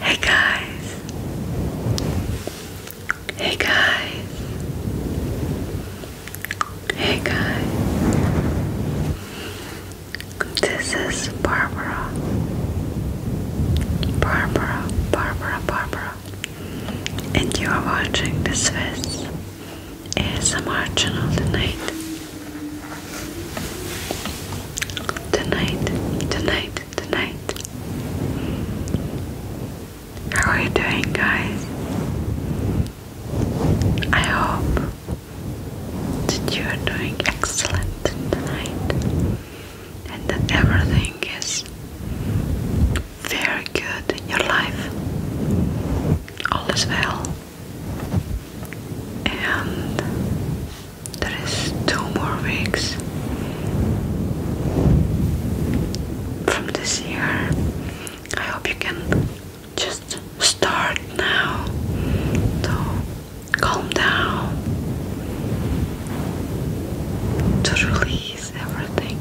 Hey guys. Hey guys. Hey guys. This is Barbara. Barbara, Barbara, Barbara. And you are watching this face. ASMR channel tonight. Tonight, tonight, tonight. How are you doing, guys? I hope that you are doing excellent tonight and that everything is very good in your life. All is well and there is two more weeks from this year. I hope you can just start now. So calm down to release everything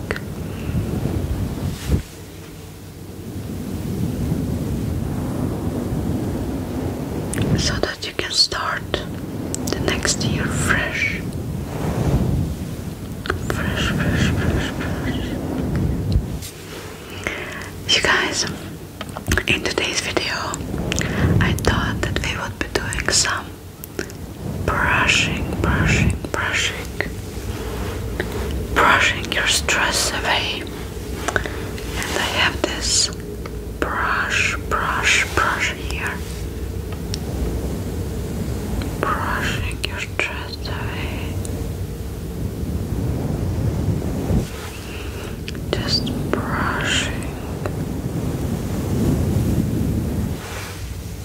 so that you can start the next year fresh. Fresh, fresh, fresh, fresh. guys, in today's video, I thought that we would be doing some brushing, brushing, brushing brushing your stress away. And I have this brush, brush, brush here. Brushing your stress away. Just brushing.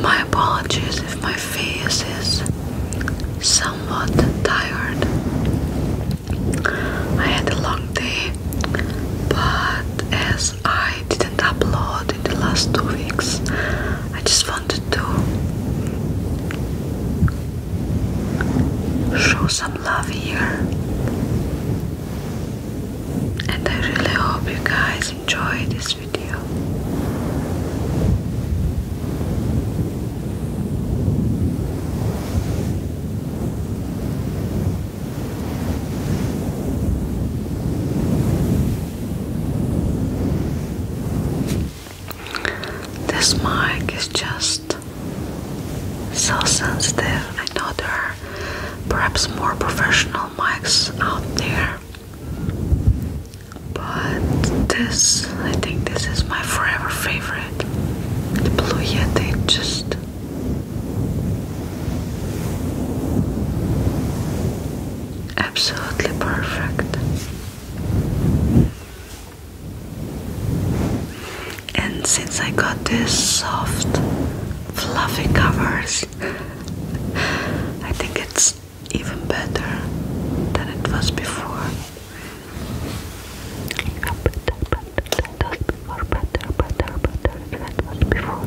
My apologies if my face is somewhat tired. I had a long day, but as I didn't upload in the last two weeks, I just wanted to show some love here. And I really hope you guys enjoy this video. This mic is just so sensitive. I know there are perhaps more professional mics out there, but this, I think, this is my forever favorite. The Blue Yeti just. Absolutely perfect. And since I got these soft, fluffy covers, I think it's even better than it was before. Or better, better, better than it was before.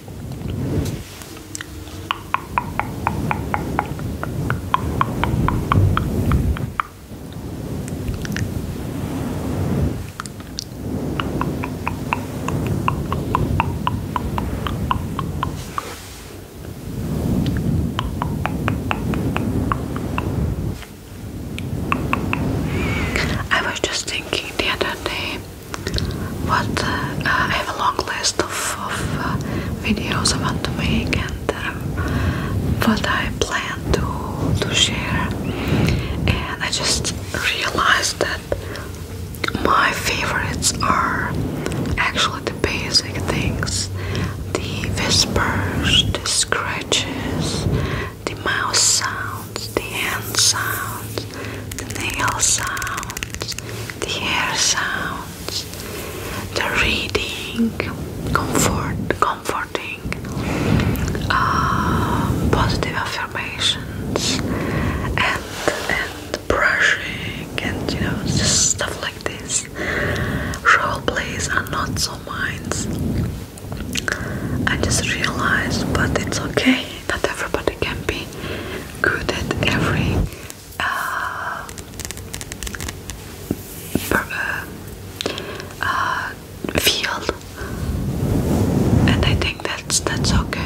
I was just the other day what uh, I have a long list of, uh, videos I want to make and um, what I plan to, to share and I just realized that my favorites are actually the basic things the whispers, the scratches, the mouse sounds, the hand sounds, the nail sounds, the hair sounds, the reading, comfort, comforting, uh, positive affirmations, and and brushing, and you know, stuff like this. Role plays are not so mine. I just realized, but it's okay. Not everybody can be good at every uh, uh, uh, field, and I think that's that's okay.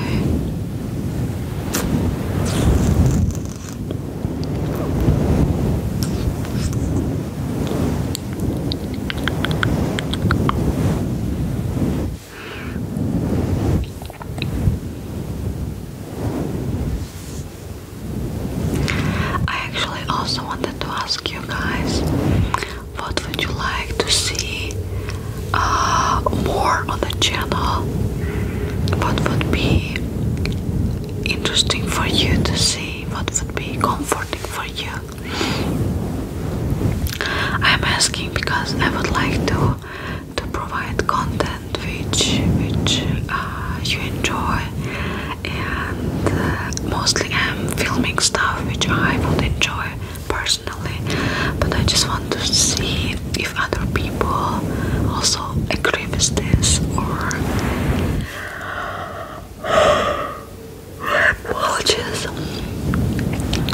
I actually also wanted to ask you guys what would you like to see uh, more on the channel? What would be interesting for you to see? What would be comforting for you? I'm asking because I would like to to provide content which which uh, you enjoy, and uh, mostly I'm filming stuff which I would enjoy personally. But I just want to see if other people also agree with this or my apologies.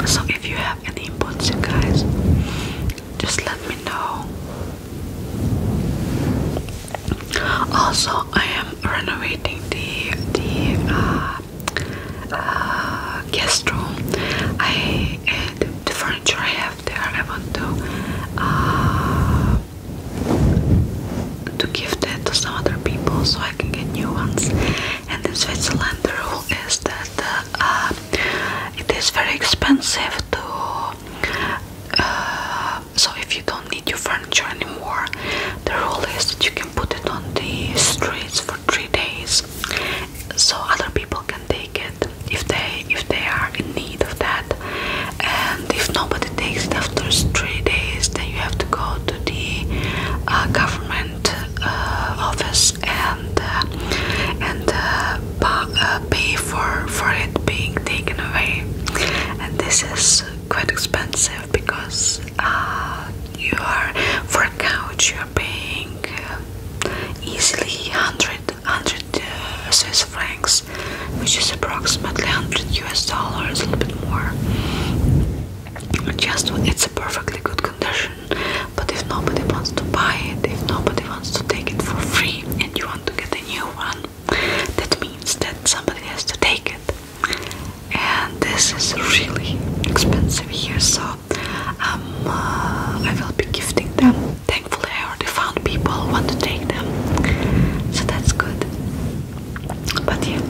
So if you have any inputs, you guys, just let me know. Also, I am renovating the the uh, uh, guest room. I uh, the, the furniture I have there. I want to uh, to give that to some other people so I can get new ones. And in Switzerland, the rule is that uh, it is very expensive to. Uh, so if you don't need your furniture anymore, the rule is that you can put it on the streets for three days, so other people can take it if they if they are in need of that and if nobody takes it after three days then you have to go to the uh, government uh, office and uh, and pay for for it being taken away and this is quite expensive because you are for a couch you're paying easily 100 uh, Swiss francs, which is approximately 100 US dollars, a little bit more. Just it's a perfectly good condition, but if nobody wants to buy it, if nobody wants to take it for free, and you want to get a new one, that means that somebody has to take it, and this is really expensive here. So um, uh, I will be gifting them thankfully I already found people who want to take them, so that's good. But yeah,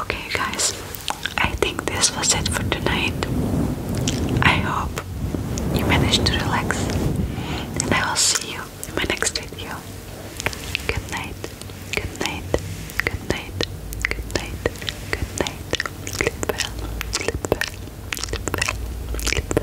okay, you guys, I think this was it for tonight. I hope you managed to relax, and I will see you in my next video. Good night, good night, good night, good night, good night. Sleep well, sleep well, sleep well, sleep well.